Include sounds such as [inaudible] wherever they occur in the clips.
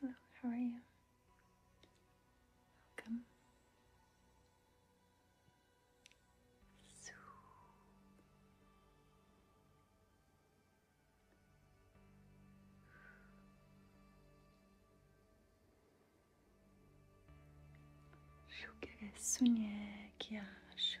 Hello, how are you? Welcome. So Şu göğe sünye kya şu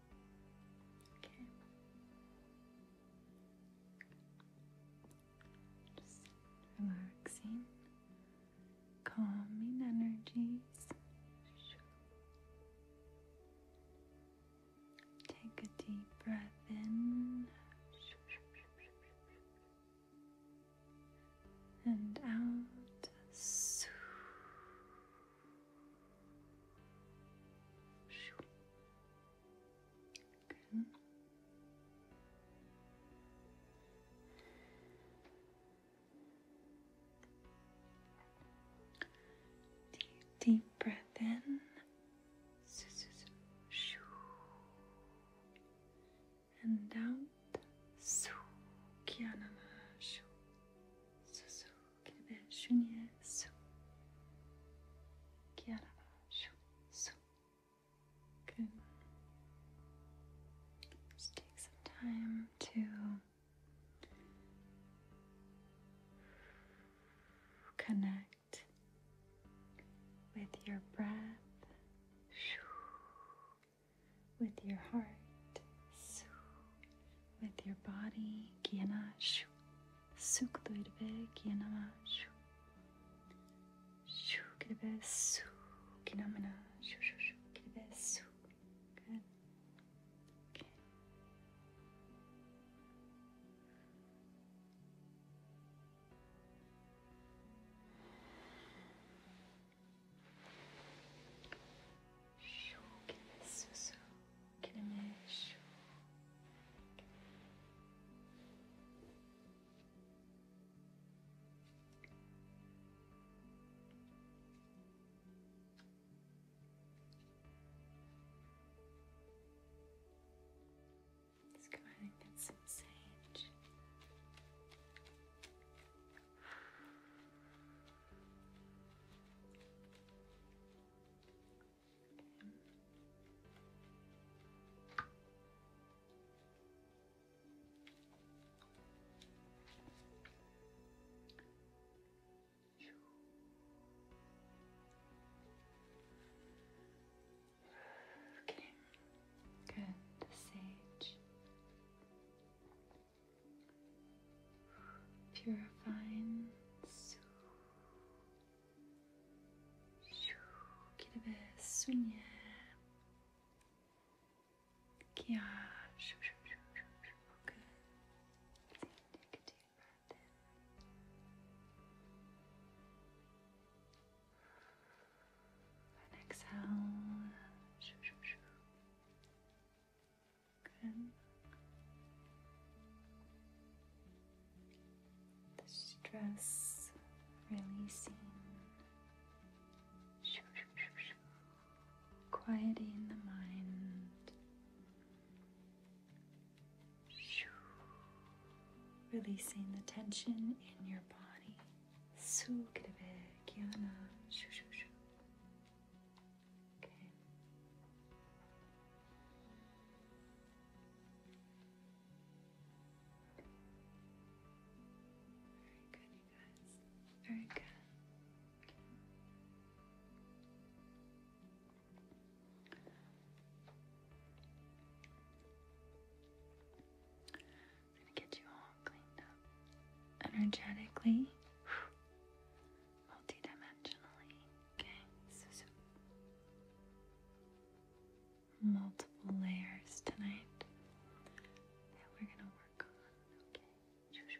Okay. Just relaxing, calming energies. Take a deep breath in and out. Good. Deep, deep breath in. And out. Su, kianana, shu, su, que baixo nisso, que era baixo, so, good Just take some time to connect with your breath, with your heart, with your body. Kianashu. Sukdurbe Kianamashu. Shukribesu. Kinamana. Shushukribesu. Good. Okay. Shukribesu. Quilmesh. Let's go ahead and get some sage. Okay, good. sage purifying. Que deve sonhar. Que a. Good. Take a deep breath in. And exhale. The stress releasing, quieting the mind, releasing the tension in your body. Very good, you guys. Very good. I'm gonna get you all cleaned up energetically multidimensionally. Okay, multiple layers tonight that we're gonna work on. Okay, shoo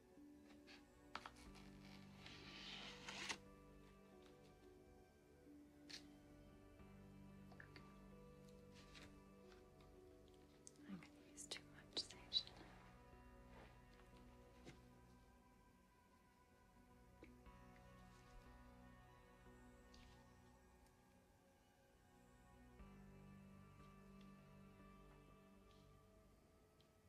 I'm going to use too much sage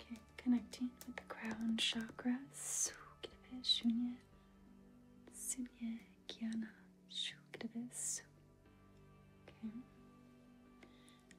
Okay, connecting with the crown chakra. Sukdeve shunye, sunye gyana. Sukdeve Okay.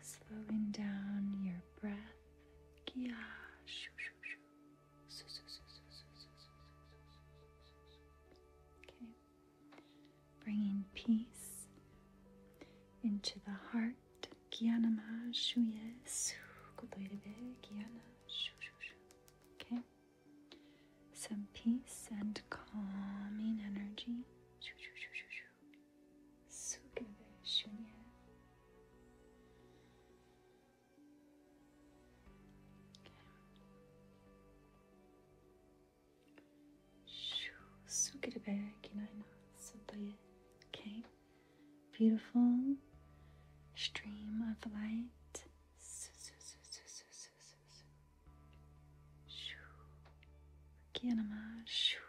slowing down your breath. Okay. Bringing peace into the heart. Okay. Some peace and calming energy. Sugevershunya. Okay, beautiful stream of light. Kianama.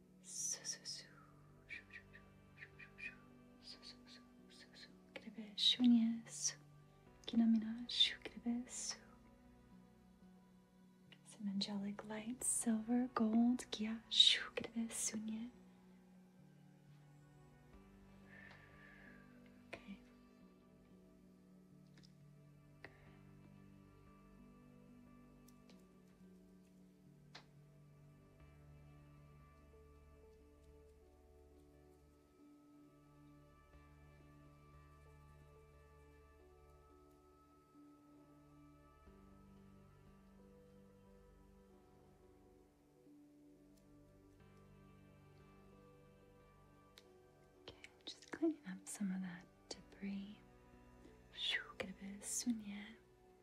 كربة شونيا سو كينامينا شو كربة سو Some angelic light, silver, gold, kia shu kribbe sunye. Okay. Okay, I'm just cleaning up some of that debris. get a bit of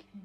Okay. This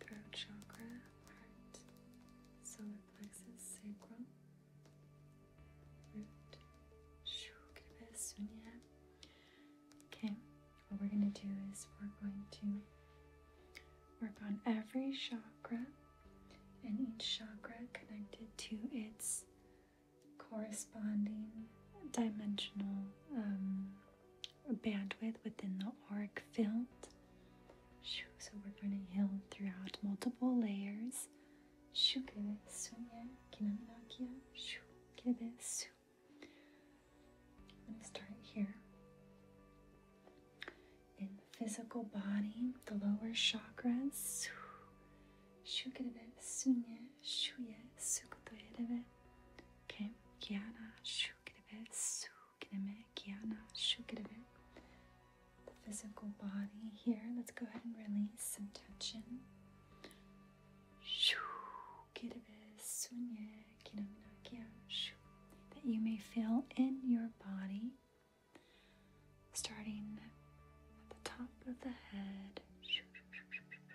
throat chakra, heart, solar plexus, sacrum, root, sunya. Okay, what we're going to do is we're going to work on every chakra and each chakra connected to its corresponding dimensional um, bandwidth within the auric field. So we're gonna heal throughout multiple layers. Sunya, I'm gonna start here in the physical body, the lower chakras. Okay. Kiana Shukrave. Sukrame. Kiana bit. The physical body here. Let's go ahead and release some tension. a bit. That you may feel in your body, starting at the top of the head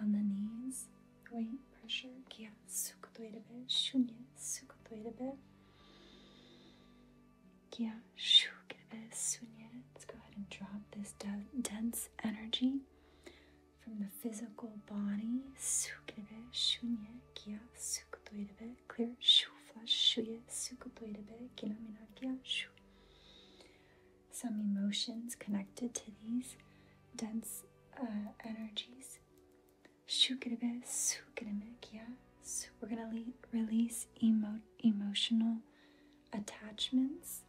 on the knees, weight, pressure, 기압 쑥 도이르베, 슈니 쑥 도이르베, 기압 슈 기르베, 슈니. Let's go ahead and drop this dense energy from the physical body. 쑥 기르베, 슈니 기압 쑥 도이르베, clear 슈 flush 슈예 쑥 도이르베, 기나미나 기압 슈 some emotions connected to these dense uh, energies. Shukrebe, sukremek, so we're going to release emo- emotional attachments.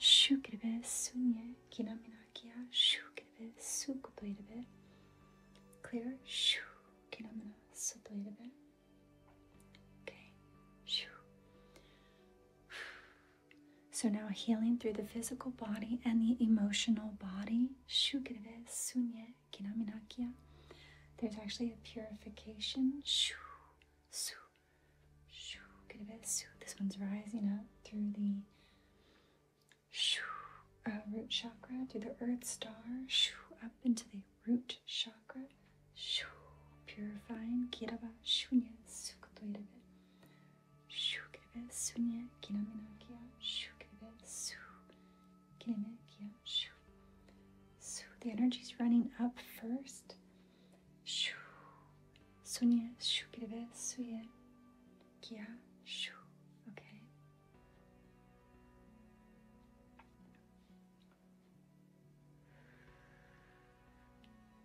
Shukrebe, sunye, kinamina kinaminakya, shukrebe, sukuplirebe. Clear, shu, kinamina, suplirebe. Okay, shu. So now healing through the physical body and the emotional body. There's actually a purification. This one's rising up through the uh, root chakra, through the earth star, up into the root chakra. Purifying. Şu kelebel su niye kilamina kia şu kelebel su kilamina kia şu. So the energy's running up first. Shu sunya shu kelebe suye kia shu. Okay.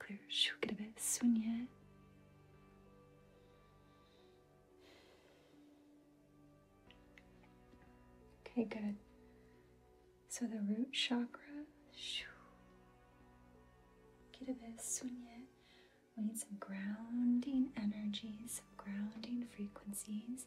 Clear. Get 그렇게 배 순예. Okay, good. So the root chakra, Get a bit we need some grounding energies, some grounding frequencies.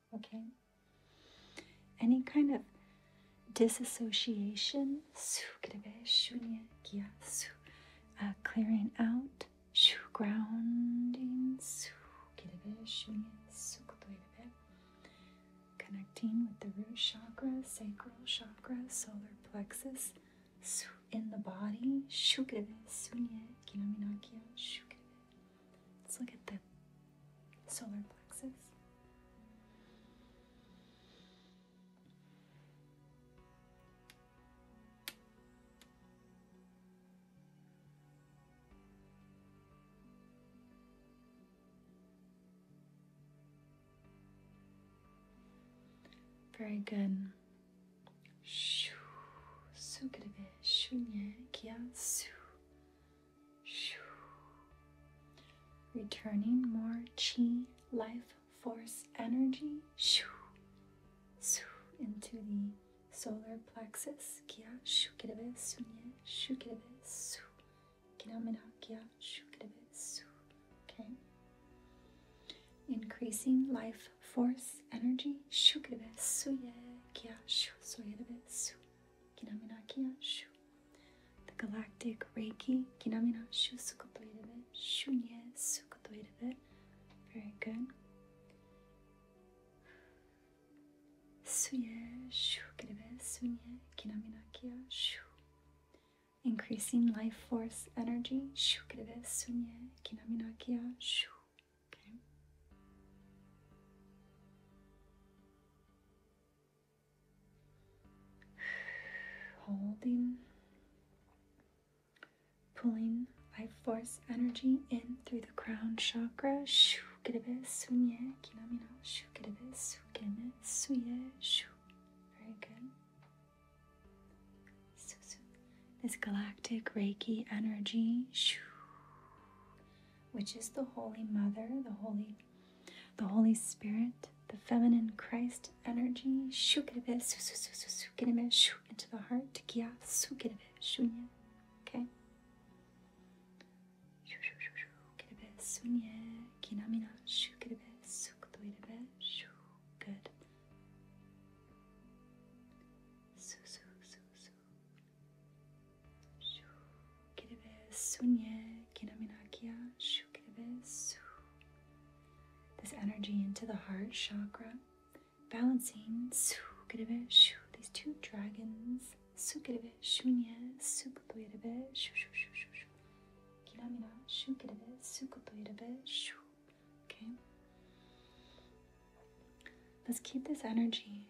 Okay? Any kind of disassociation, uh, clearing out, grounding, connecting with the root chakra, sacral chakra, solar plexus, in the body, Let's look at the solar plexus. Very good. Şu, su gribi, şunye, Returning more chi, life force energy su into the solar plexus. Kia shukerebe sunye shukerebe su. Kinamina kia shukerebe su. Okay. Increasing life force energy. su suye kia shu soyerebe su. Kinaminakina Shu. The galactic Reiki Kinamina Shu Sukotoidebe Shunye Sukotoidebe. Very good. Suye Shu Kirebe Sunye Kinaminakia Shu. Increasing life force energy Shu Kirebe Sunye Kinaminakia Shu. Okay. [sighs] Holding, pulling life force energy in through the crown chakra. Shoo, get a bit sunye, kinamino. Shoo, get a bit sukeme, shoo. Very good. This galactic Reiki energy, shoo, which is the Holy Mother, the Holy the Holy Spirit, the feminine Christ energy, into the heart. Okay? Good. Shoo kiribesu nye kinaminakia. Shoo kiribesu. This energy into the heart chakra, balancing su kiribesu. These two dragons. Su kiribesu nye sukutoirebe. Shoo shoo shoo shoo shoo. Kinamina shoo kiribe sukutoirebe. Shoo. Okay. Let's keep this energy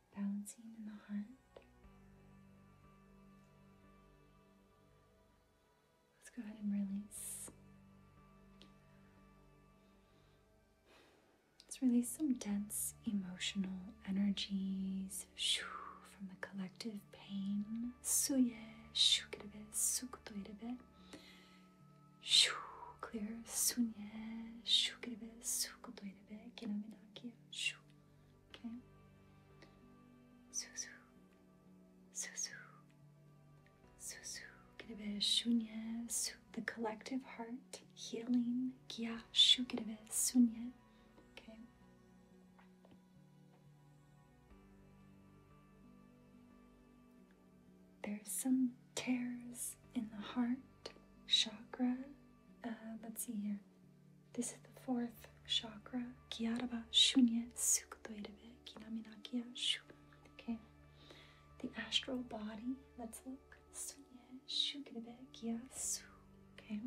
balancing in the heart. Let's go ahead and release. Let's release some dense emotional energies from the collective pain. Suye, shukirebe, sukutoirebe. Shu, clear, sunye, shukirebe, sukutoirebe, kenominakyo, shu. Okay. Zuzu. Zuzu. Zuzu. Kirebe Shunye Su. The collective heart. Healing. Kya Shu Kirebe Okay. There's some tears in the heart chakra uh, let's see here. This is the fourth chakra. Kyaraba Shunya Sukutoirebe Kinaminakia Shu. Okay. The astral body. Let's look. Sunya Shukurebe Kia Su. Okay.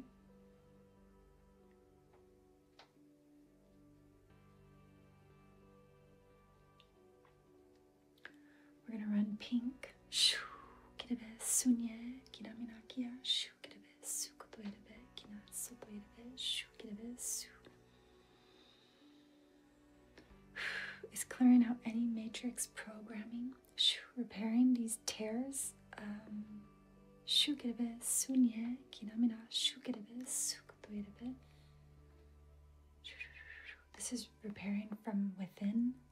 We're gonna run pink. Shu. Kirebe Sunya Kinaminakia Shu. [sighs] Is clearing out any matrix programming, repairing these tears. Um, this is repairing from within.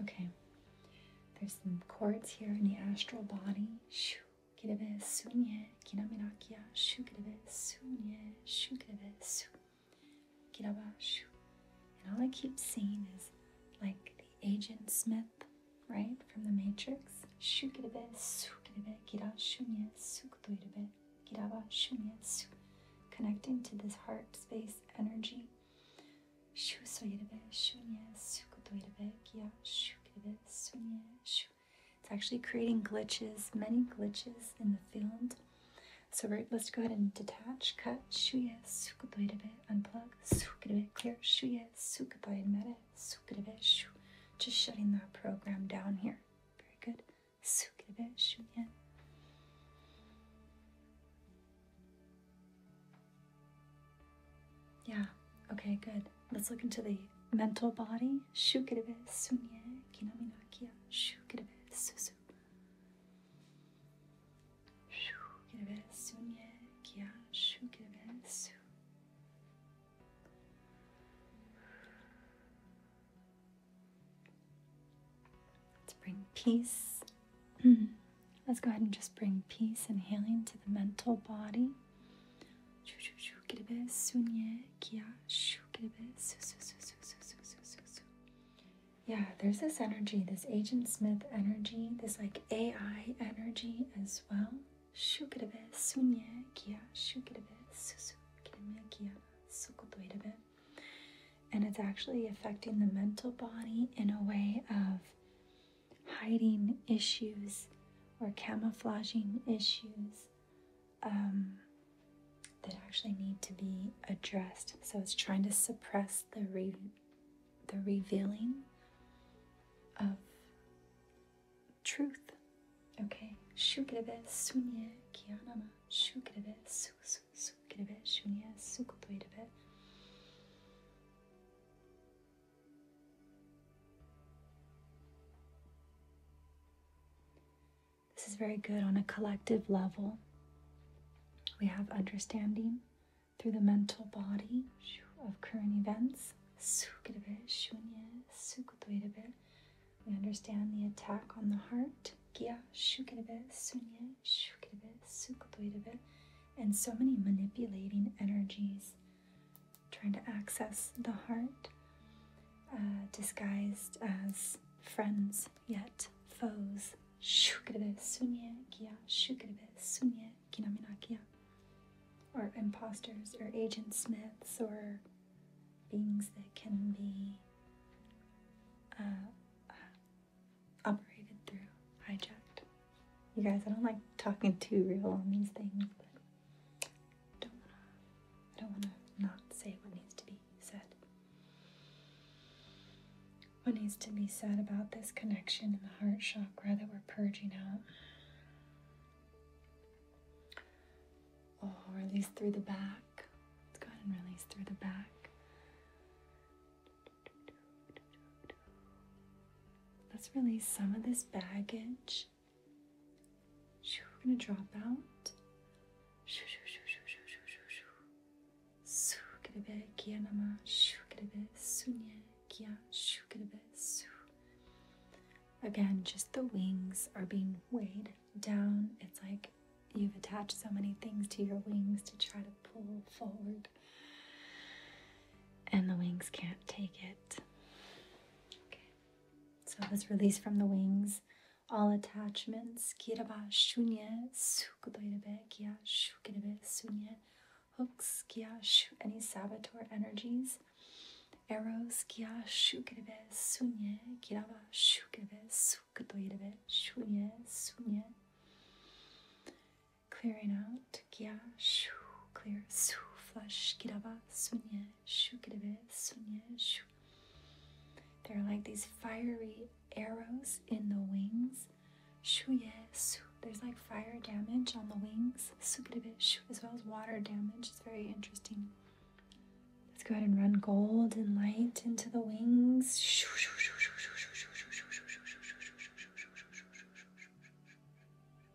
Okay, there's some cords here in the astral body kirebe sunye kinamirakia shu kirebe shu And all I keep seeing is like the Agent Smith, right, from the Matrix. Shu kirebe su kirebe kira shunye su Connecting to this heart space energy. Shu soirebe shunye su kutoirebe kia shu kirebe sunye shu it's actually creating glitches, many glitches in the field. So right, let's go ahead and detach, cut, shuye, sukudoide bit, unplug, sukudoide bit, clear, shuye, sukudoide meta, sukudoide bit, shu. Just shutting that program down here. Very good. Sukudoide bit, shuye. Yeah, okay, good let's look into the mental body. Shukirebe sunye kinaminakia. Shukirebe susu. Let's bring peace. [clears throat] Let's go ahead and just bring peace and healing to the mental body kelebes sunye kia shu kelebes su su su su su su su su su. Yeah, there's this energy, this Agent Smith energy, this like AI energy as well. Shu kelebes sunye kia shu kelebes su su kelebe kia sokoto erebe. And it's actually affecting the mental body in a way of hiding issues or camouflaging issues um, that actually need to be addressed. So it's trying to suppress the the revealing of truth. Okay. Shugrebe sunye kianama. Shugrebe su su sugrebe shunye sukutoirebe. This is very good on a collective level. We have understanding through the mental body of current events. We understand the attack on the heart. And so many manipulating energies trying to access the heart, uh, disguised as friends yet foes. Or imposters, or agent smiths, or beings that can be uh, uh, operated through, hijacked. You guys, I don't like talking too real on these things, I don't wanna not say what needs to be said. What needs to be said about this connection in the heart chakra that we're purging out? or oh, release through the back. Let's go and release through the back. Let's release some of this baggage Shoo, we're gonna drop out. Shoo, shoo, shoo, shoo, shoo, shoo, shoo, shoo. Su kerebe kia mama. Shoo kerebe sunye kia. Shoo kerebe su. Again, just the wings are being weighed down. It's like you've attached so many things to your wings to try to pull forward, and the wings can't take it. Okay. So let's release from the wings all attachments. Kiraba shunye sukudoirebe kia shukirebe sunye hooks kia shu any saboteur energies. Arrows kia shukirebe sunye kiraba shukirebe sukudoirebe shunye sunye. Clearing out kia shu clear su flush kiraba sunye there are like these fiery arrows in the wings. There's like fire damage on the wings, as well as water damage. It's very interesting. Let's go ahead and run gold and light into the wings.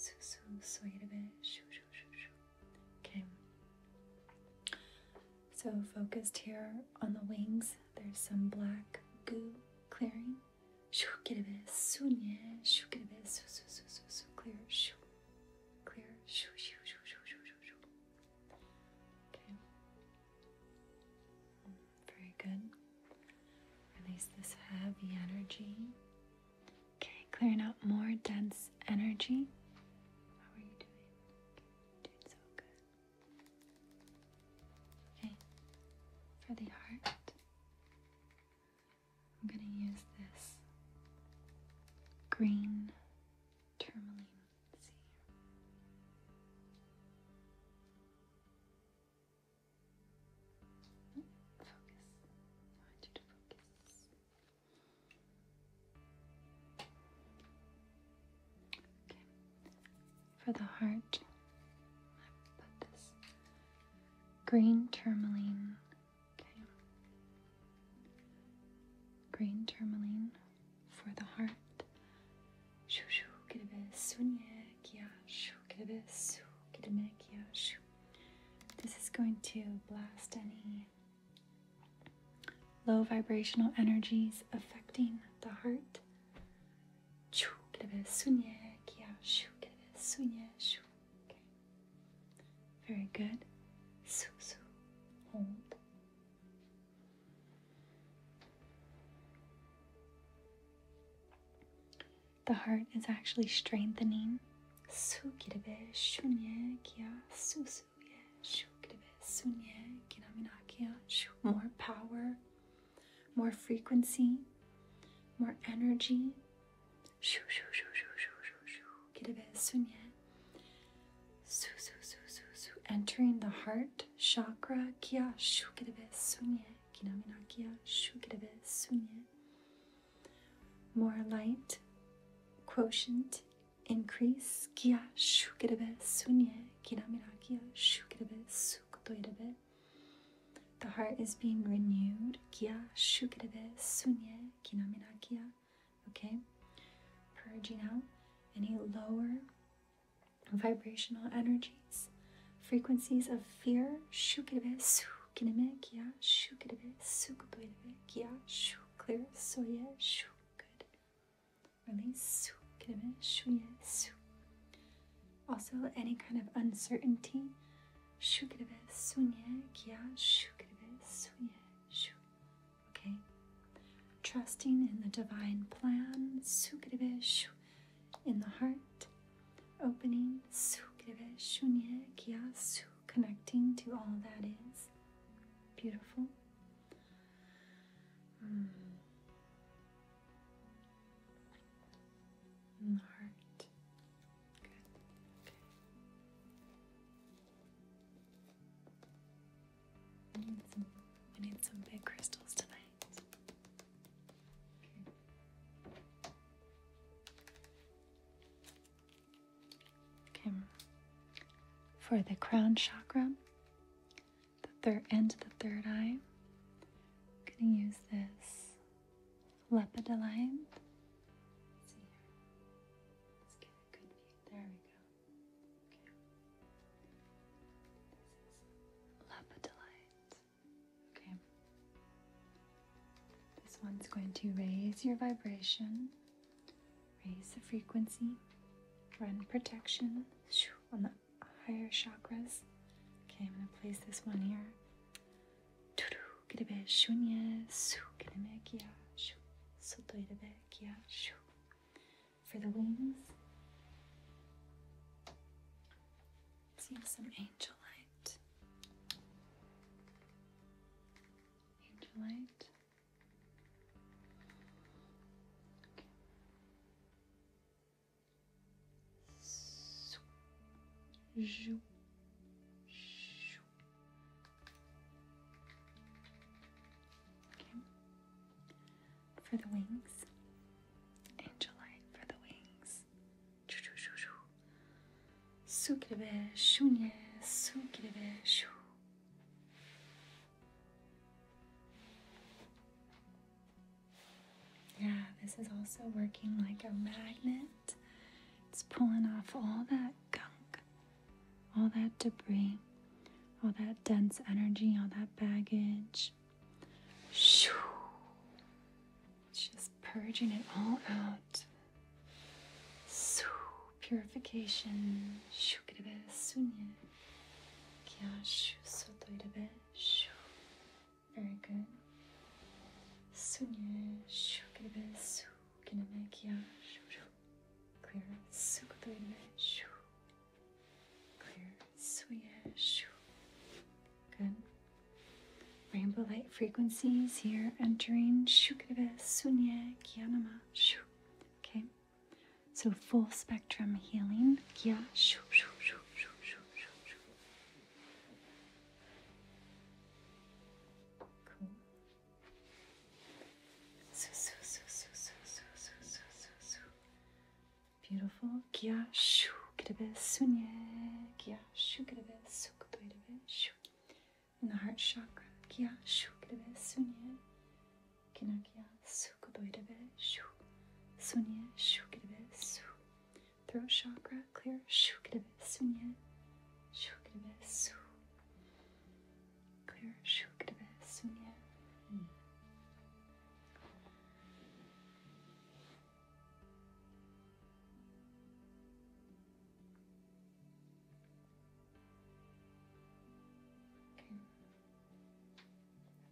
su su soyirebe shu shu shu shu. Okay. So focused here on the wings. There's some black goo clearing. Shu kirebe sunye shu kirebe su su su su su clear shu clear shu shu shu shu shu shu shu. Okay. Very good. Release this heavy energy. Okay, clearing out more dense energy. How are you doing? Okay, doing so good. Okay, for the heart, I'm gonna use this green tourmaline Focus. I want you to focus. Okay. For the heart, I put this green tourmaline. Okay. Green tourmaline for the heart. Shoo shoo, kidabes, sunye, kia, shoo, kidabes, shoo, kidame, kia, shoo. This is going to blast any low vibrational energies affecting the heart. Okay. Very good. Hold the heart is actually strengthening. More power, more frequency, more energy. Entering the heart chakra. More light quotient increase. Kia shukirabe sunye kiramirakia shukirabe sukutoirabe. The heart is being renewed. Kia shukirabe sunye kinamirakia. Okay? Purging out any lower vibrational energy frequencies. Frequencies of fear. Shukerebe, sukineme, kia, shukerebe, sukutoirebe, kia, shu, clear, soye, shu, good. Release, sukineme, shuye, su. Also, any kind of uncertainty. Shukerebe, sunye, kia, shukerebe, sunye, shu. Okay? Trusting in the divine plan. Sukerebe, shu in the heart, opening kiasu, connecting to all that is beautiful. Mm. In the heart. Good. Okay. We need some, big crystals tonight. Okay. For the crown chakra, the third end of the third eye, I'm going to use this lepidolite. Let's get a good view. There we go. Okay. This is lepidolite. Okay. This one's going to raise your vibration, raise the frequency, run protection on the higher chakras. Okay, I'm going to place this one here. For the wings, See some angel light. Okay. Swoop. Zoop. Okay. For the wings, angel light for the wings. Yeah, this is also working like a magnet. It's pulling off all that gunk, all that debris, all that dense energy, all that baggage. Shoo. Just purging it all out. Su purification. Shu kirebe sunye. Kya shu sotoirebe. Shu. Very good. Sunye. Shu kirebe su kineme kya shu shu. Clear. Su kotoirebe. Shu. Clear. Suye. Shu. Good. Rainbow light frequencies here entering Shukriva Sunye Kyanama Shu. Okay. So full spectrum healing. Kya shu shu shu shu shu shu shu. Cool. Su su su su su su su su su Beautiful. Kya shu kribe sunye. Kya in the heart chakra, kya shukrave sunye, kinakya sukudoidave shu, sunye shukrave su, throat chakra, clear shukrave sunye, shukrave su, clear shukrave sunye. Hmm.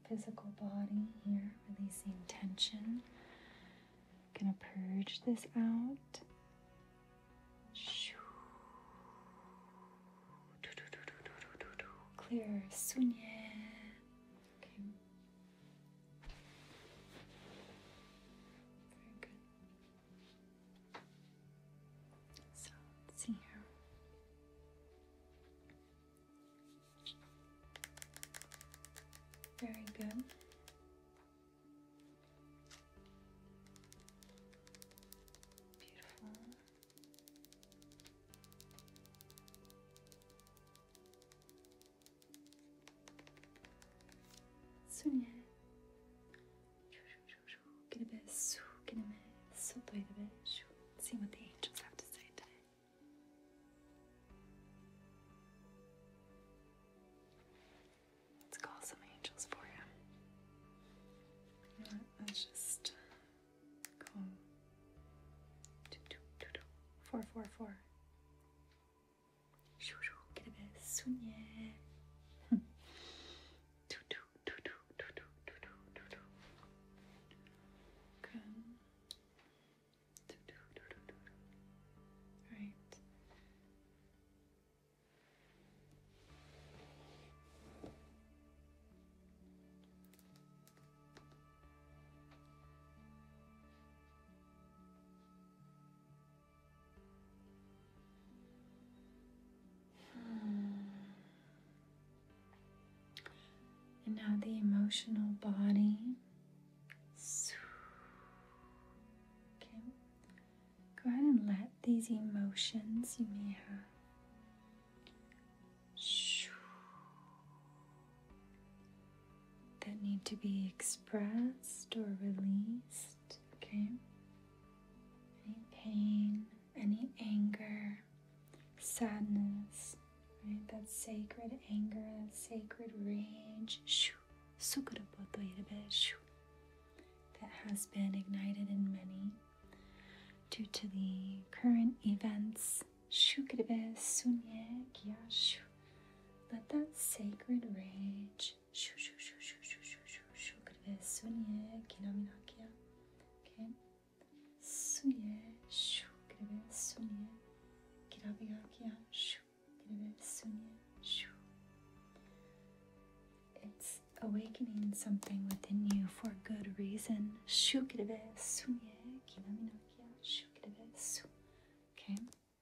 Physical body here, releasing tension. gonna purge this out. Clear sunye. Very good. So let's see here. Very good. Beautiful. Sonhar. Aquele beijo, aquele beijo, sou doida, beijo. Sim, what the angels have to say today. Let's call some angels for you. Let's just call um, 444. 슈슈 그래 순예 두두 두두 두두 두두 두두 good 두두 두두 두두 right Hmm. And now the emotional body. Okay. Go ahead and let these emotions you may have that need to be expressed or released, okay? Any pain, any anger, sadness, right? That sacred anger, that sacred rage, that has been ignited in many due to the current events. Let that sacred rage okay Sunye shu kirebe sunye kirabigakia shu kirebe sunye shu It's awakening something within you for good reason. Shu kirebe sunye kinaminokia shu kirebe su Okay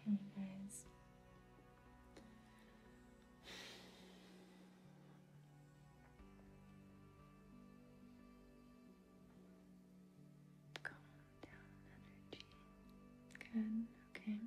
Okay, guys. Calm down energy. Good, okay.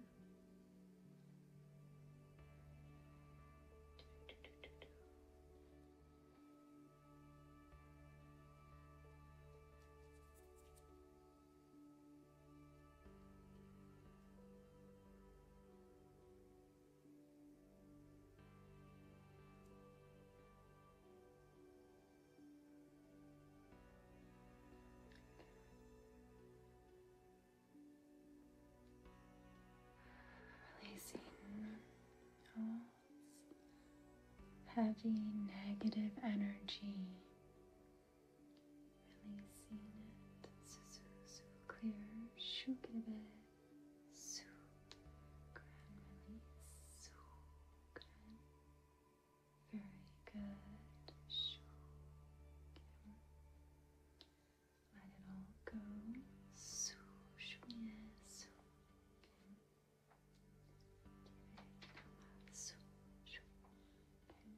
Releasing all heavy negative energy Releasing it. So, so, so clear. Shook it a bit. So grand release. So grand. Very good. Shook him. Let it all go. So, shook So, Give it a so, shook. Okay.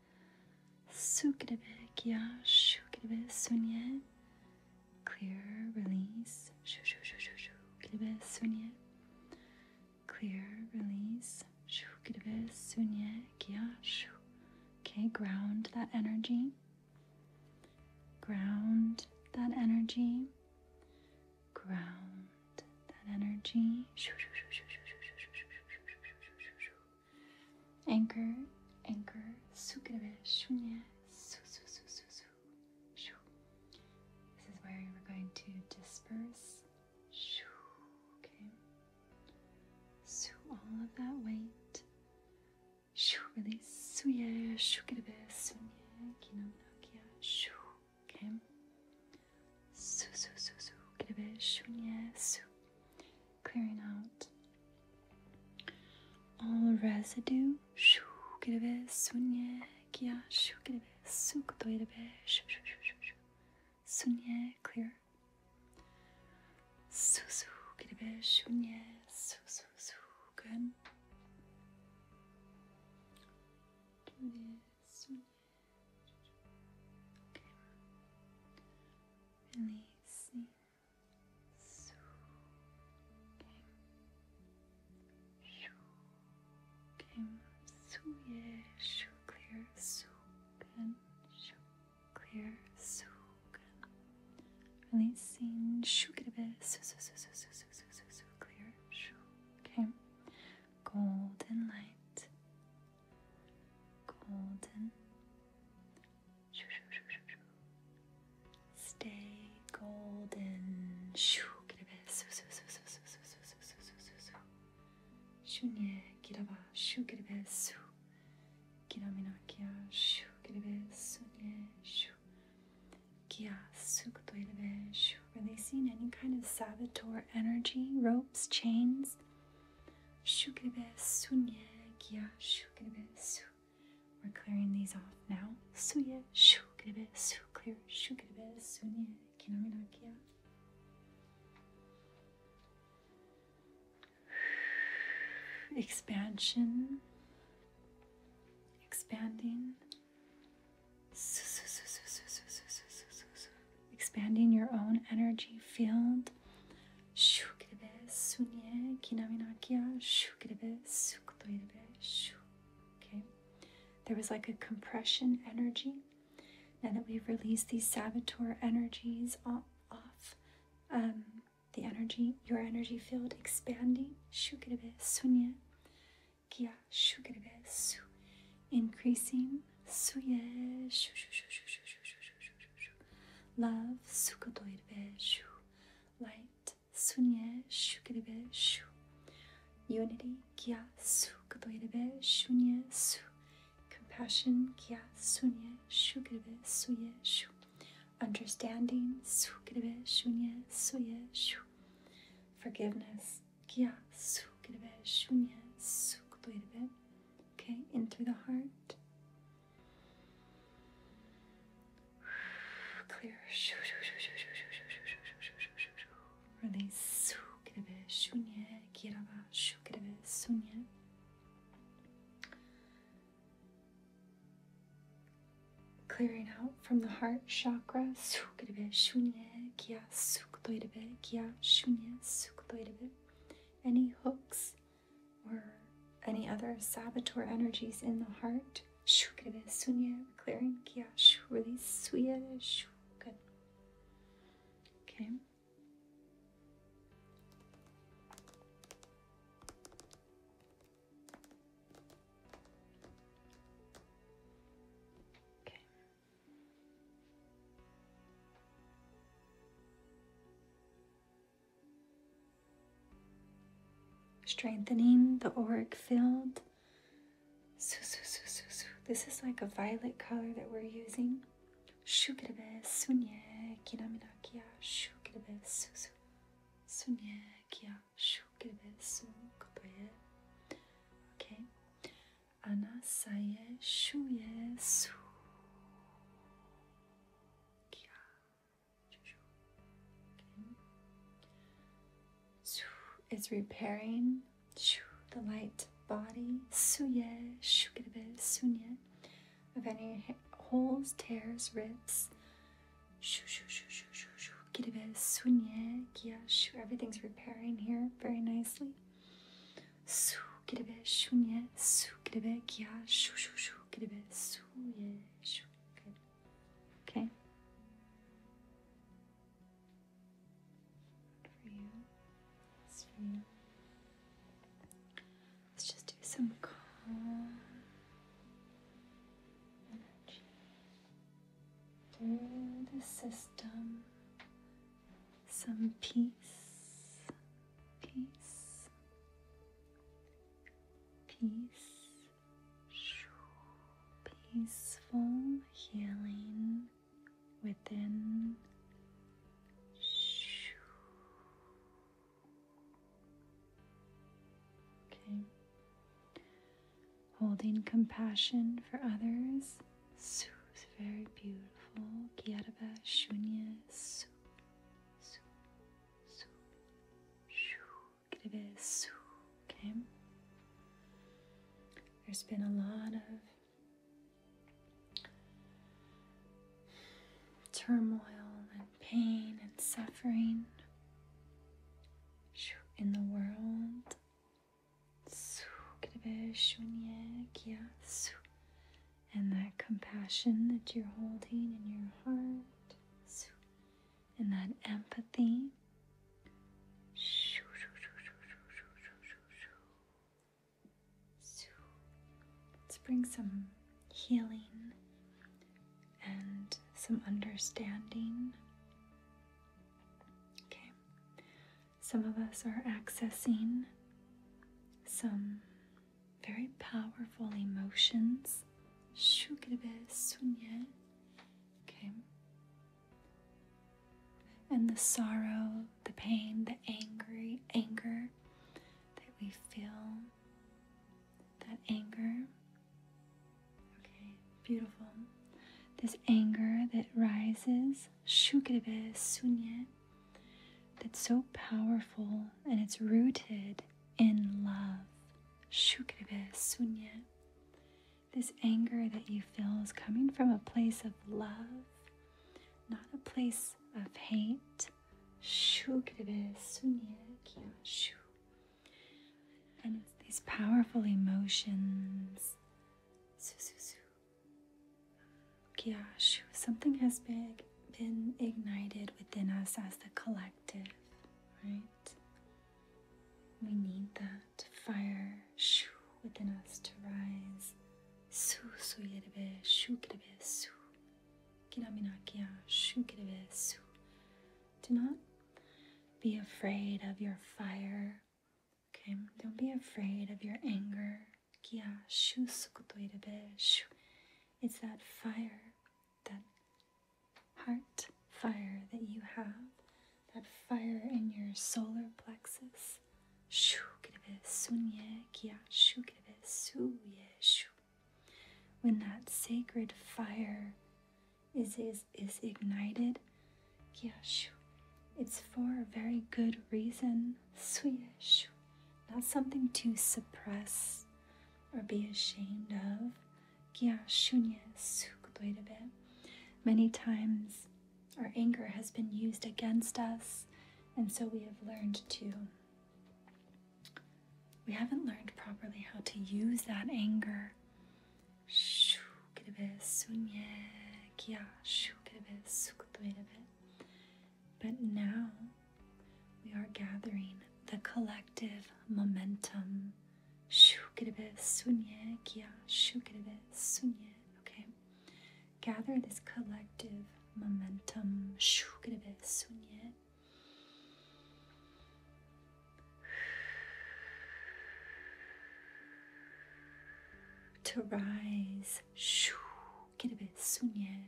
Sukrabek ya şukrabe sunye. Clear, release. Shu shu shu shu shu. Krabe sunye. Clear, release. Shukrabe sunye kya shu. Okay, ground that energy. Ground that energy. Ground that energy. Anchor, anchor, this is where we're going to disperse. Okay. So all of that weight. Release. Okay. Su, su, su, su. Get a bit shunye, su. Clearing out all residue. Shu, get a bit sunye, kia, shu, get a bit su, kotoe, a bit shu, shu, shu, shu, shu. Sunye, clear. Su, su, get a bit shunye, su, su, su. Good. Do this. Releasing. So, okay. Came so yeah, so clear, so good, so clear, so good. Releasing, shook it a bit, so so so so so so so so so clear, so okay. Golden light, golden. Stay golden. Shunye kiraba shu kiribe su. Kiramina kia shu kiribe sunye shu. Kia sukuto iribe shu. Releasing any kind of saboteur energy, ropes, chains. Shu We're clearing these off now. Suye shu su clear shu sunye kinamina Expansion expanding expanding your own energy field. Okay. There was like a compression energy. Now that we've released these saboteur energies off um, the energy, your energy field expanding increasing suye shu shu shu shu shu shu shu shu shu shu love sukodoirbe shu light sunye shukiribe shu unity kya sukodoirbe shunye su compassion kya sunye shukiribe suye shu understanding sukiribe shunye suye shu forgiveness Kia sukirebe shunya sukutoirebe. Okay, in through the heart. Clear. Release sukirebe shunya kiraba sukirebe sunya. Clearing out from the heart chakra. Sukirebe shunye kia sukutoirebe kia shunye shunya sukutoirebe any hooks or any other saboteur energies in the heart. Clearing kia good. Okay. Okay. Strengthening the auric field. This is like a violet color that we're using. Okay. Anna saje szuje su. Is repairing the light body suye shukirbe sunye of any holes, tears, rips. Everything's repairing here very nicely su kirebe shunye su kirebe kya shu shu shu kirebe su ye shu Okay. For you. It's for you. Let's just do some calm energy through the system some peace, peace, peace, peaceful healing within. Okay. Holding compassion for others Su is very beautiful. Kiarba shunya su su su shu Okay. There's been a lot of turmoil and pain and suffering in the world and that compassion that you're holding in your heart, and that empathy. let's bring some healing and some understanding. Okay, some of us are accessing some very powerful emotions. Okay. And the sorrow, the pain, the angry anger that we feel, that anger. Okay, beautiful. This anger that rises, that's so powerful and it's rooted in love. sunya. This anger that you feel is coming from a place of love, not a place of hate. And it's these powerful emotions Gosh, something has been, been ignited within us as the collective, right? We need that fire shoo, within us to rise. Su suyerebe, shukirebe, su. Kiraminakia, ah, shukirebe, su. Do not be afraid of your fire Okay, don't be afraid of your anger. It's that fire, that heart fire that you have, that fire in your solar plexus. When that sacred fire is, is, is ignited, it's for a very good reason fun, Swedish, not something to suppress or be ashamed of. Many times our anger has been used against us, and so we have learned to. We haven't learned properly how to use that anger. But now we are gathering the collective momentum. Okay? Gather this collective momentum. [sighs] To rise كلمة sunya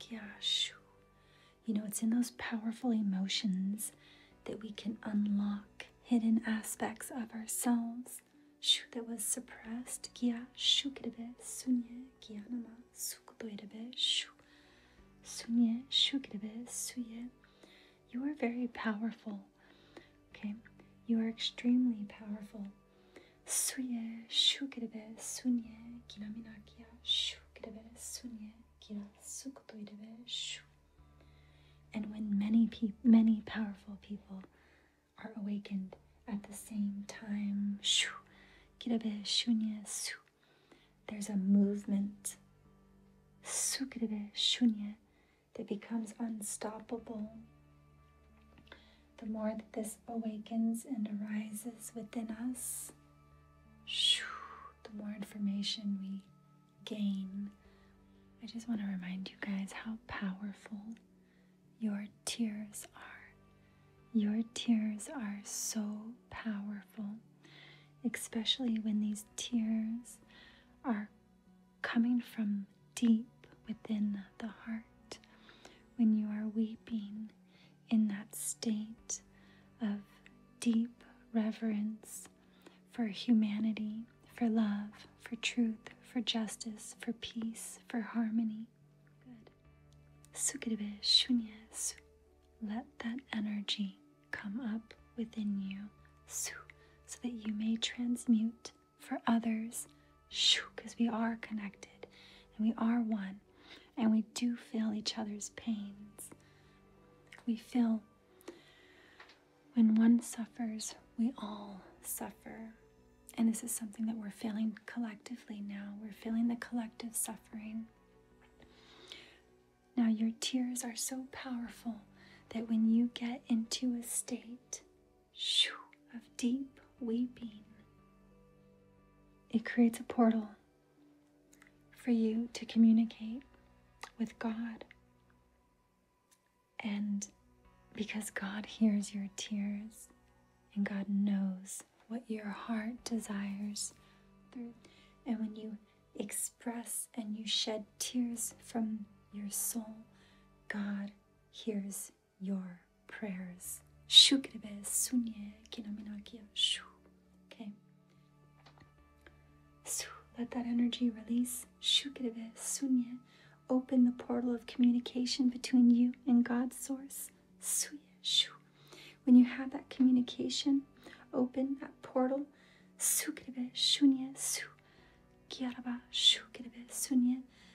kyashu. You know, it's in those powerful emotions that we can unlock hidden aspects of ourselves that was suppressed. You are very powerful. Okay? You are extremely powerful. Suye shukirebe sunye kiraminakia shukirebe sunye kira And when many people, many powerful people are awakened at the same time, shu kirabe su. There's a movement. Sukirebe shunye that becomes unstoppable. The more that this awakens and arises within us, the more information we gain. I just want to remind you guys how powerful your tears are. Your tears are so powerful, especially when these tears are coming from deep within the heart when you are weeping in that state of deep reverence for humanity, for love, for truth, for justice, for peace, for harmony. Good. Sukirbe shunyesu. Let that energy come up within you so that you may transmute for others because we are connected and we are one and we do feel each other's pains. We feel when one suffers, we all suffer. And this is something that we're feeling collectively now. We're feeling the collective suffering. Now, your tears are so powerful that when you get into a state shoo, of deep weeping. It creates a portal for you to communicate with God. And because God hears your tears and God knows what your heart desires And when you express and you shed tears from your soul, God hears your prayers. Okay. Let that energy release. Open the portal of communication between you and God's source. When you have that communication, open that portal. Sukrebe, shunye, su, gyaraba, sukrebe, sunye.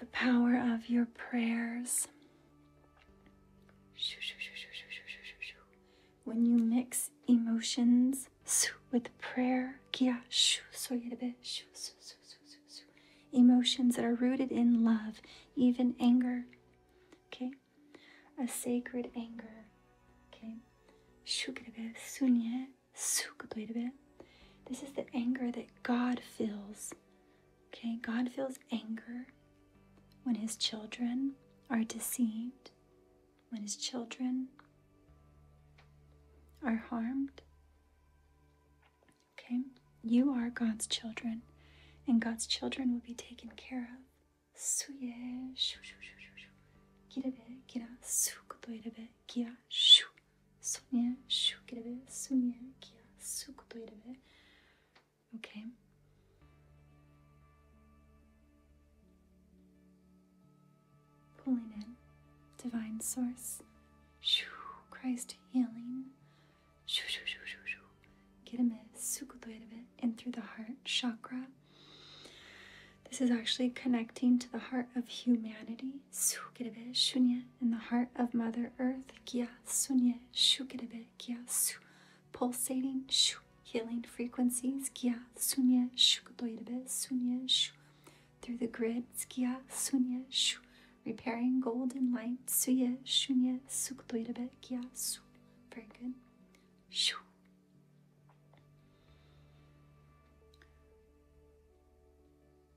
The power of your prayers. When you mix emotions with prayer, emotions that are rooted in love, even anger, okay? A sacred anger, okay? This is the anger that God feels. Okay, God feels anger when his children are deceived, when his children are harmed. Okay, you are God's children, and God's children will be taken care of. Suye, shu, shu, shu, shu, shu. Kirabe, kira, su, kira, shu. 쑥 이래베 쑥예 기야 쑥도 이래베 okay pulling in divine source shoo Christ healing shoo shoo shoo shoo shoo Kireme sukudoirebe in through the heart chakra. This is actually connecting to the heart of humanity sukrebe shunye in the heart of Mother Earth. Kya sunye shukrebe kya su. Pulsating shu. Healing frequencies. Kya sunye shukdoirebe sunye shu. Through the grid, Kya sunye shu. Repairing golden light. Suye shunye sukdoirebe kya su. Very good. Shu.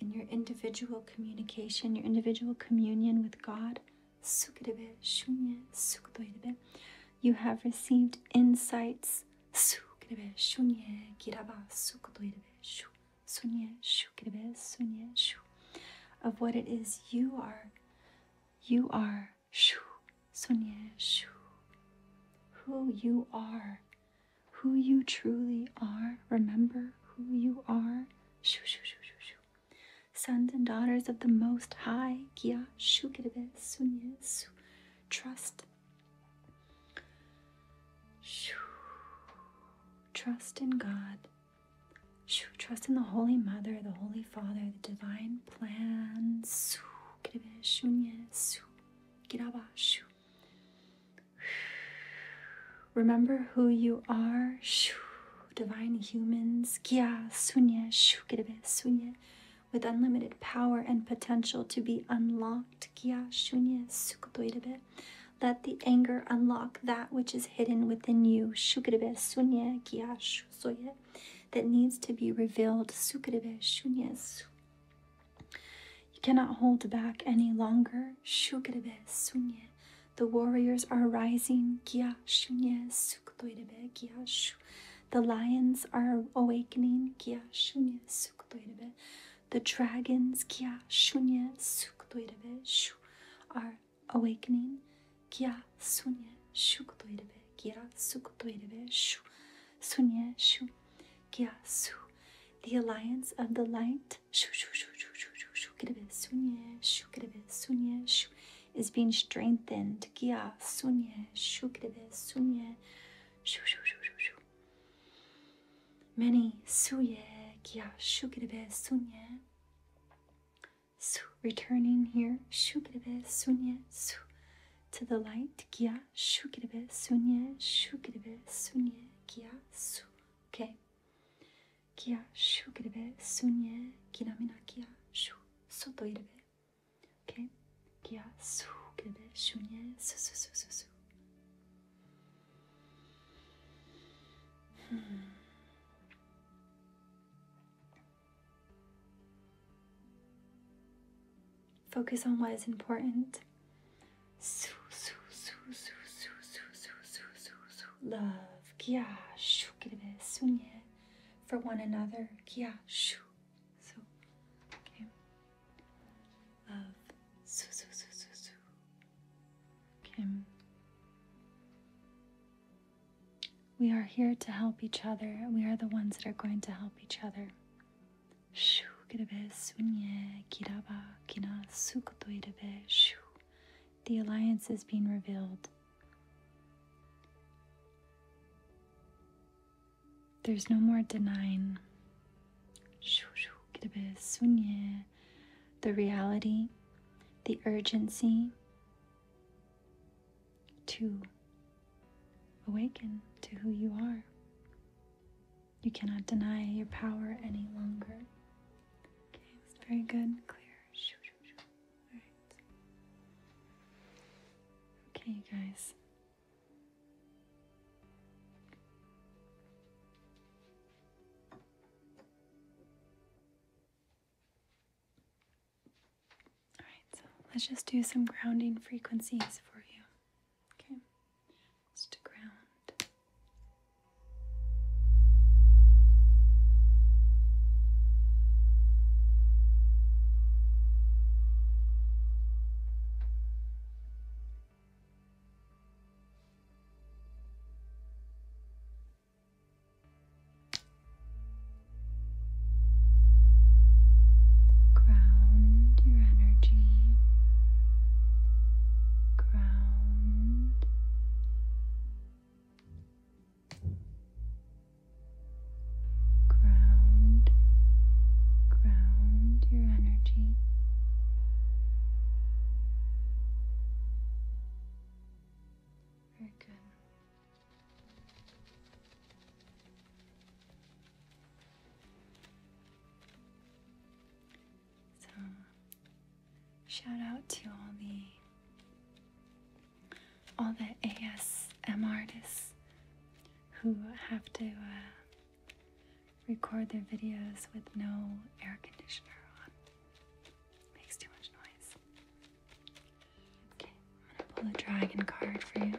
in your individual communication, your individual communion with God. You have received insights. Of what it is you are. You are. Who you are who you truly are. Remember who you are. Shoo, shoo, shoo, shoo, Sons and daughters of the Most High. Kia shukirbe sunye su. Trust. Shoo. Trust in God. Shoo. Trust in the Holy Mother, the Holy Father, the Divine Plan. Su. Kirbe su. Remember who you are. Divine humans. Kya sunya shukirbe sunya. With unlimited power and potential to be unlocked. Kya shunya sukutoirebe. Let the anger unlock that which is hidden within you. Shukirbe sunya kya shusoye. That needs to be revealed. Sukirbe shunya you cannot hold back any longer. Shugrebe sunye. The warriors are rising. Kia sunye suktoirebe kia shu. The lions are awakening. Kia sunye suktoirebe. The dragons kia sunye suktoirebe shu are awakening. Kia sunye suktoirebe kia suktoirebe shu. Sunye shu. Kia su, the alliance of the light, shoo shoo shoo shoo shoo shoo shoo sunye shoo is being strengthened. Kya sunye shoo sunye shoo shoo shoo shoo shoo. Many su suye kya shoo sunye su returning here shoo sunye su to the light. Kya shukirbe sunye shukirbe sunye kia su. Okay. Kya shukirbe sunye kiramina kya shu soto irbe. Okay. Kya sukirbe shunye su su su su su. Hmm. Focus on what is important. Love. For one another. So, Love. We are here to help each other. We are the ones that are going to help each other. Shu sunye kiraba kina sukoto irebe shu. The alliance is being revealed. There's no more denying. Shu sunye. The reality, the urgency to awaken to who you are. You cannot deny your power any longer. Okay, it's very good, clear. All right. Okay, you guys. All right, so let's just do some grounding frequencies for you. Okay, it's to ground. Ground your energy ground. Ground, ground your energy. Very good. So, shout out to all the all the ASM artists who have to uh, record their videos with no air conditioner on. Makes too much noise. Okay, I'm gonna pull a dragon card for you.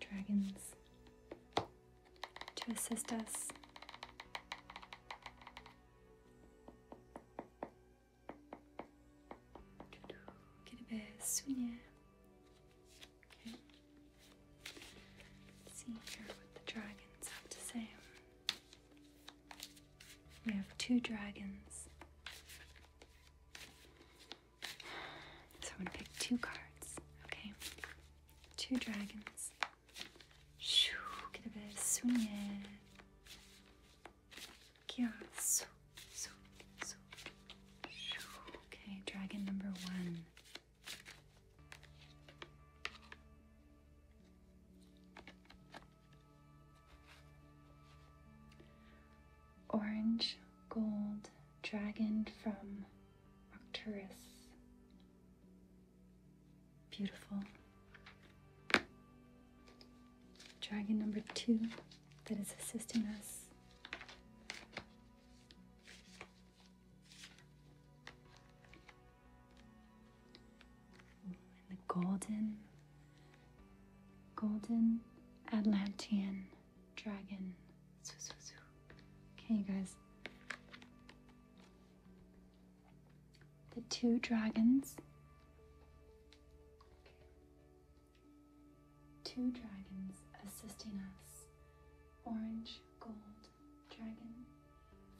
Dragons to assist us. Get a bit swingy. Okay. see here what the dragons have to say. We have two dragons. So I'm going to pick two cards, okay? Two dragons. Shoo, get a bit sunye. Kya, okay, dragon number one. Orange gold dragon from Arcturus. Beautiful. Dragon number two that is assisting us and the golden, golden Atlantean dragon. Okay, you guys. The two dragons. Two dragons assisting us. Orange gold dragon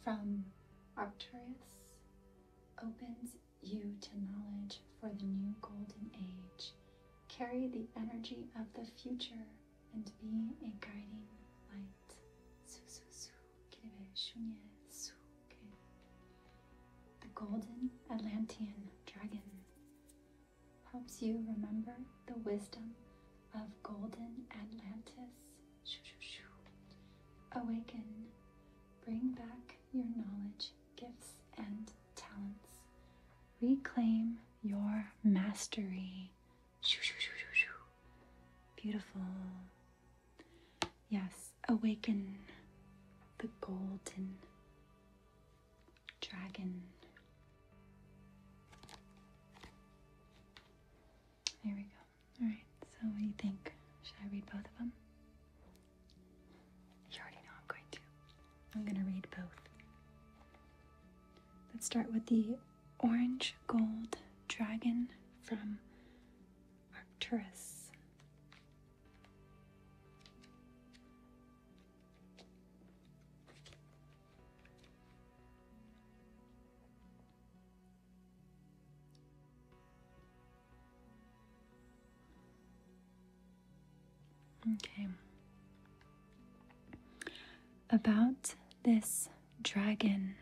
from Arcturus opens you to knowledge for the new golden age. Carry the energy of the future and be a guiding light. The golden Atlantean dragon helps you remember the wisdom of golden Atlantis Awaken. Bring back your knowledge, gifts, and talents. Reclaim your mastery. Beautiful. Yes, awaken the golden dragon. There we go. Alright, so what do you think? Should I read both of them? You already know I'm going to. I'm going to read both. Let's start with the orange gold dragon from Arcturus. Okay. About this dragon.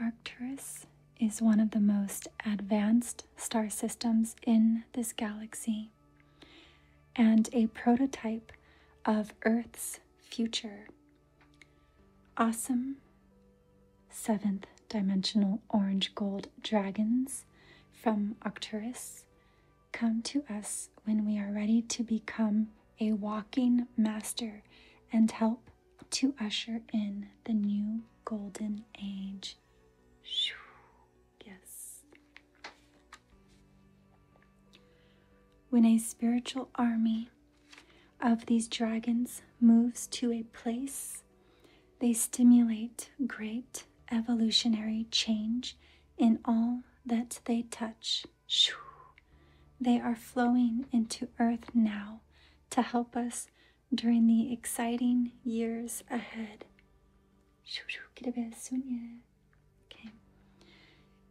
Arcturus is one of the most advanced star systems in this galaxy and a prototype of Earth's future Awesome seventh dimensional orange gold dragons from Arcturus come to us when we are ready to become a walking master and help to usher in the new golden age. Yes. When a spiritual army of these dragons moves to a place, they stimulate great evolutionary change in all that they touch. Shoo. They are flowing into Earth now to help us during the exciting years ahead. Okay.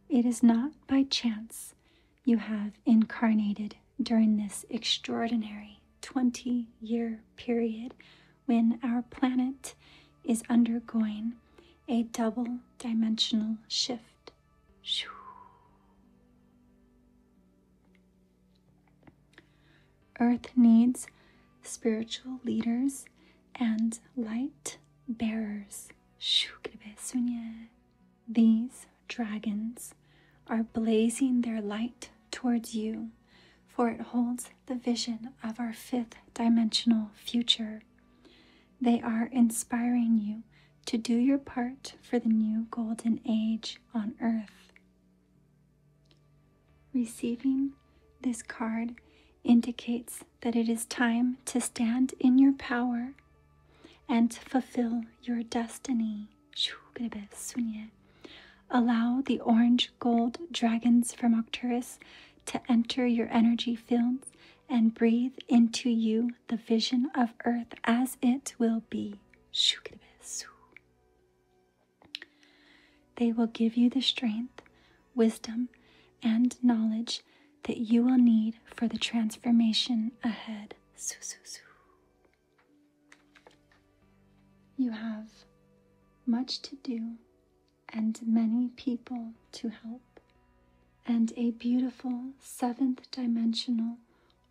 It is not by chance you have incarnated during this extraordinary 20 year period when our planet is undergoing a double dimensional shift. Earth needs spiritual leaders and light bearers. These dragons are blazing their light towards you, for it holds the vision of our fifth dimensional future. They are inspiring you to do your part for the new golden age on earth. Receiving this card indicates that it is time to stand in your power and to fulfill your destiny. Allow the orange gold dragons from Arcturus to enter your energy fields and breathe into you the vision of Earth as it will be. They will give you the strength, wisdom, and knowledge that you will need for the transformation ahead. You have much to do and many people to help, and a beautiful seventh dimensional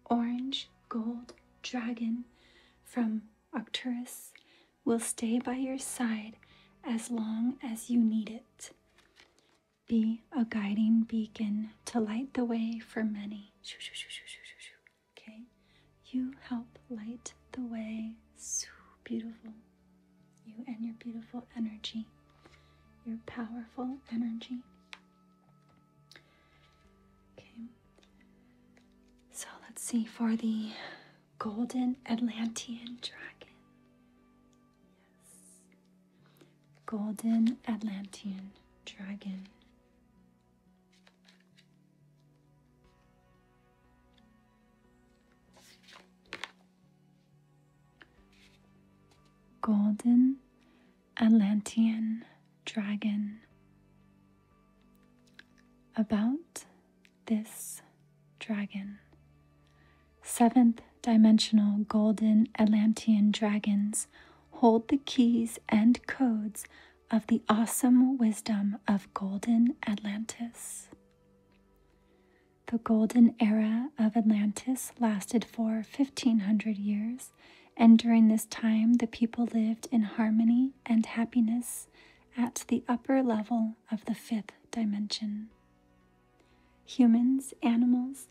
orange gold dragon from Arcturus will stay by your side as long as you need it be a guiding beacon to light the way for many. Okay, you help light the way. So beautiful. You and your beautiful energy, your powerful energy. Okay, so let's see for the golden Atlantean dragon. Yes. Golden Atlantean Dragon. Golden Atlantean Dragon. About this dragon seventh dimensional golden Atlantean dragons hold the keys and codes of the awesome wisdom of golden Atlantis. The golden era of Atlantis lasted for 1500 years, and during this time the people lived in harmony and happiness at the upper level of the fifth dimension. Humans, animals,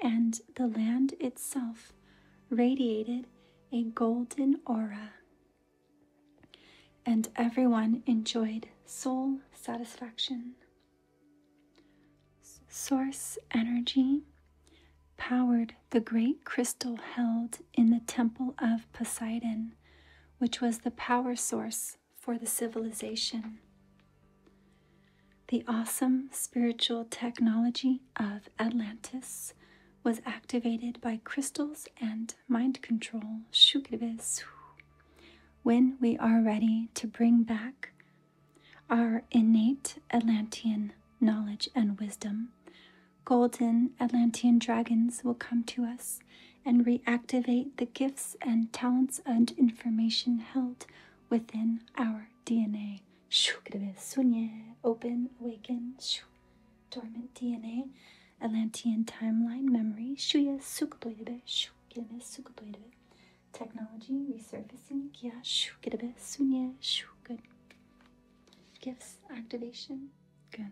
and the land itself radiated a golden aura. And everyone enjoyed soul satisfaction. Source energy powered the great crystal held in the temple of Poseidon, which was the power source for the civilization. The awesome spiritual technology of Atlantis was activated by crystals and mind control. When we are ready to bring back our innate Atlantean knowledge and wisdom, golden Atlantean dragons will come to us and reactivate the gifts and talents and information held within our DNA, our DNA. Open, awaken, dormant DNA, Atlantean timeline memory, technology, resurfacing, good. Gifts activation, good.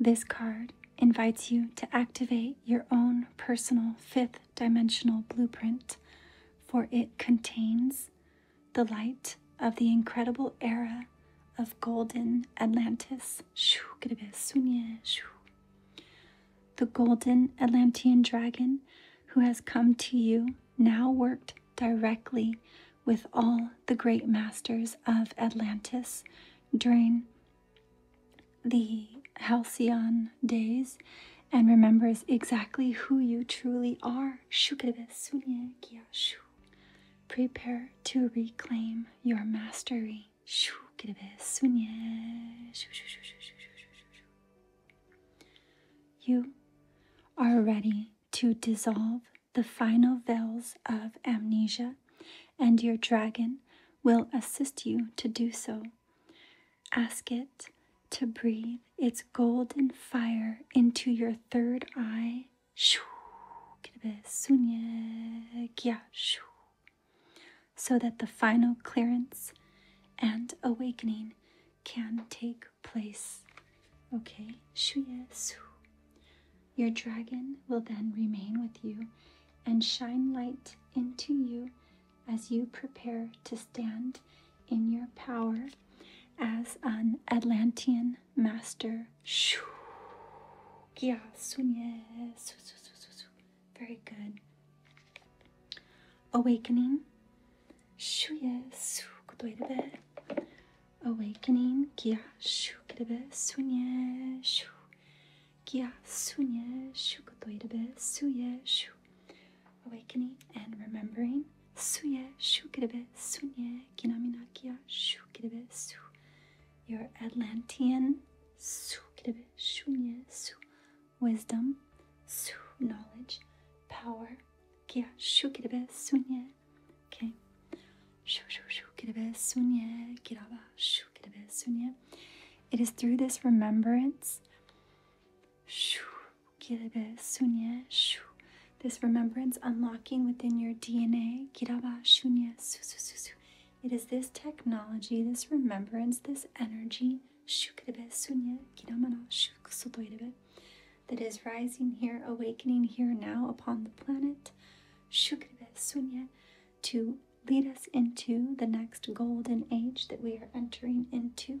This card invites you to activate your own personal fifth dimensional blueprint, for it contains the light of the incredible era of golden Atlantis. The golden Atlantean dragon who has come to you now worked directly with all the great masters of Atlantis during the halcyon days and remembers exactly who you truly are. Prepare to reclaim your mastery. You are ready to dissolve the final veils of amnesia, and your dragon will assist you to do so Ask it to breathe its golden fire into your third eye. So that the final clearance and awakening can take place. Okay, your dragon will then remain with you and shine light into you as you prepare to stand in your power as an Atlantean master. shu, yes, Very good. Awakening. shu, yes, Awakening. shu, shu, shu, su, su, su, yes, yes, Awakening. Awakening and remembering. Suye shukirebe sunye kinaminakia shukirabe su. Your Atlantean sukirebe shunye su. Wisdom, su knowledge, power. Kia shukirebe sunye. Okay. Shu shu shukirebe sunye kiraba shukirebe sunye. It is through this remembrance Shoo. Kirbe eh, sunye This remembrance unlocking within your DNA. Kiraba shunye su It is this technology, this remembrance, this energy, that is rising here, awakening here now upon the planet, eh, to lead us into the next golden age that we are entering into.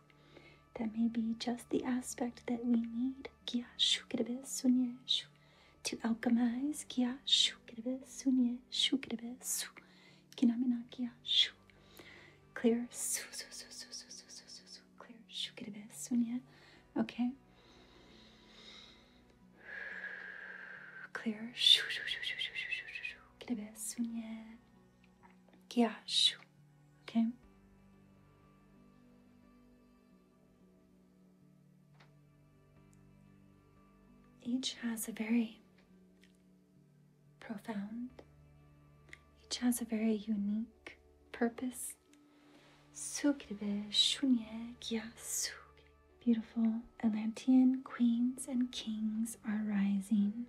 That may be just the aspect that we need to alchemize. Clear. Clear. Okay. Clear que ok? Each has a very profound, each has a very unique purpose. Beautiful Atlantean queens and kings are rising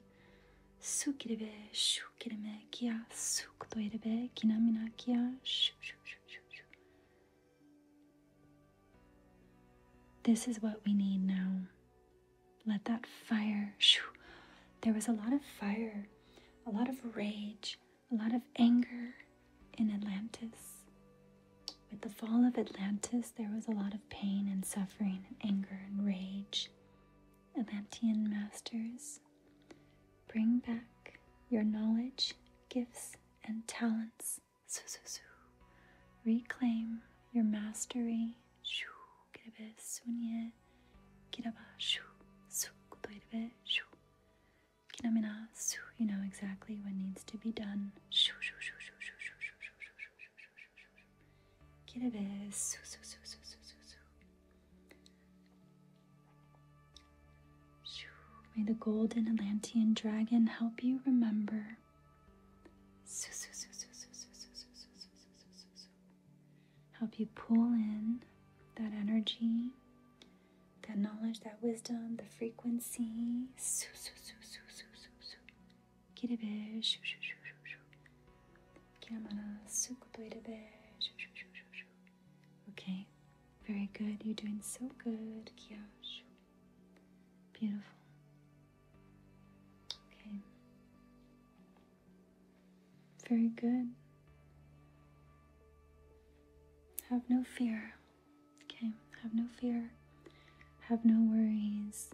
Suk irebe, kia, suk to irebe, kinamina kia, shoo, shoo, This is what we need now. Let that fire, shoo. There was a lot of fire, a lot of rage, a lot of anger in Atlantis. With the fall of Atlantis, there was a lot of pain and suffering and anger and rage. Atlantean masters Bring back your knowledge, gifts, and talents. Reclaim your mastery. You know exactly what needs to be done. May the golden Atlantean dragon help you remember. Help you pull in that energy, that knowledge, that wisdom, the frequency. Okay, very good. You're doing so good, Kiyosh. Beautiful. Okay. Very good. Have no fear. Okay, have no fear. Have no worries.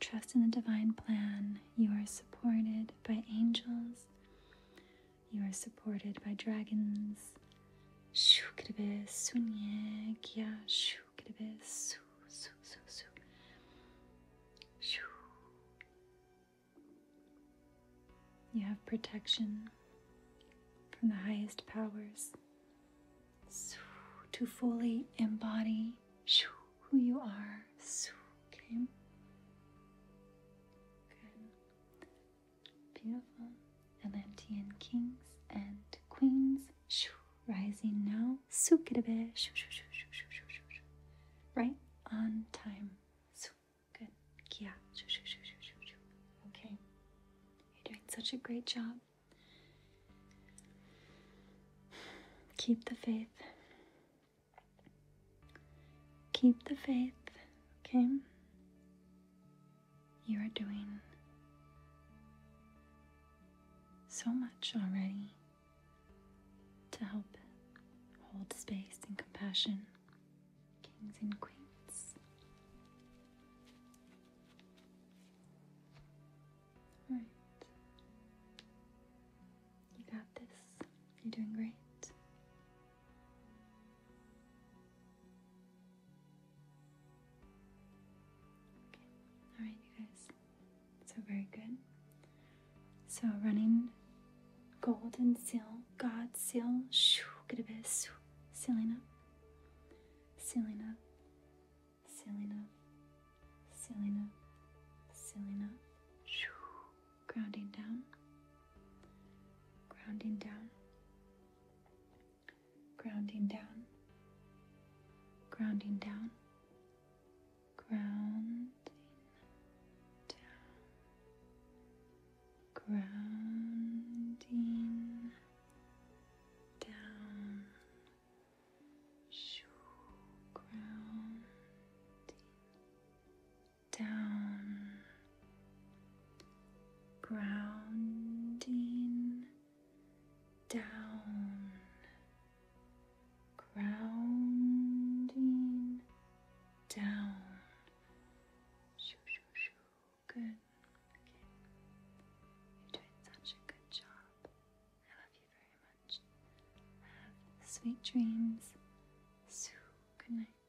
Trust in the divine plan. You are supported by angels. You are supported by dragons. You have protection from the highest powers to fully embody who you are. Okay. Good. Beautiful. Atlantean kings and queens. rising now. Sukitabe. Right on time. Good. Kia. Okay. You're doing such a great job. Keep the faith. Keep the faith, okay? You are doing so much already to help hold space and compassion, kings and queens. All right. You got this. You're doing great. Okay. All right, you guys. So very good. So running golden seal, God seal, shoo, get a bit shoo, sealing up, sealing up, sealing up, sealing up, sealing up, shoo grounding down, grounding down, grounding down, grounding down, grounding down, grounding down, grounding down, grounding down, grounding down. Good. Okay. You're doing such a good job. I love you very much. Have sweet dreams. good night.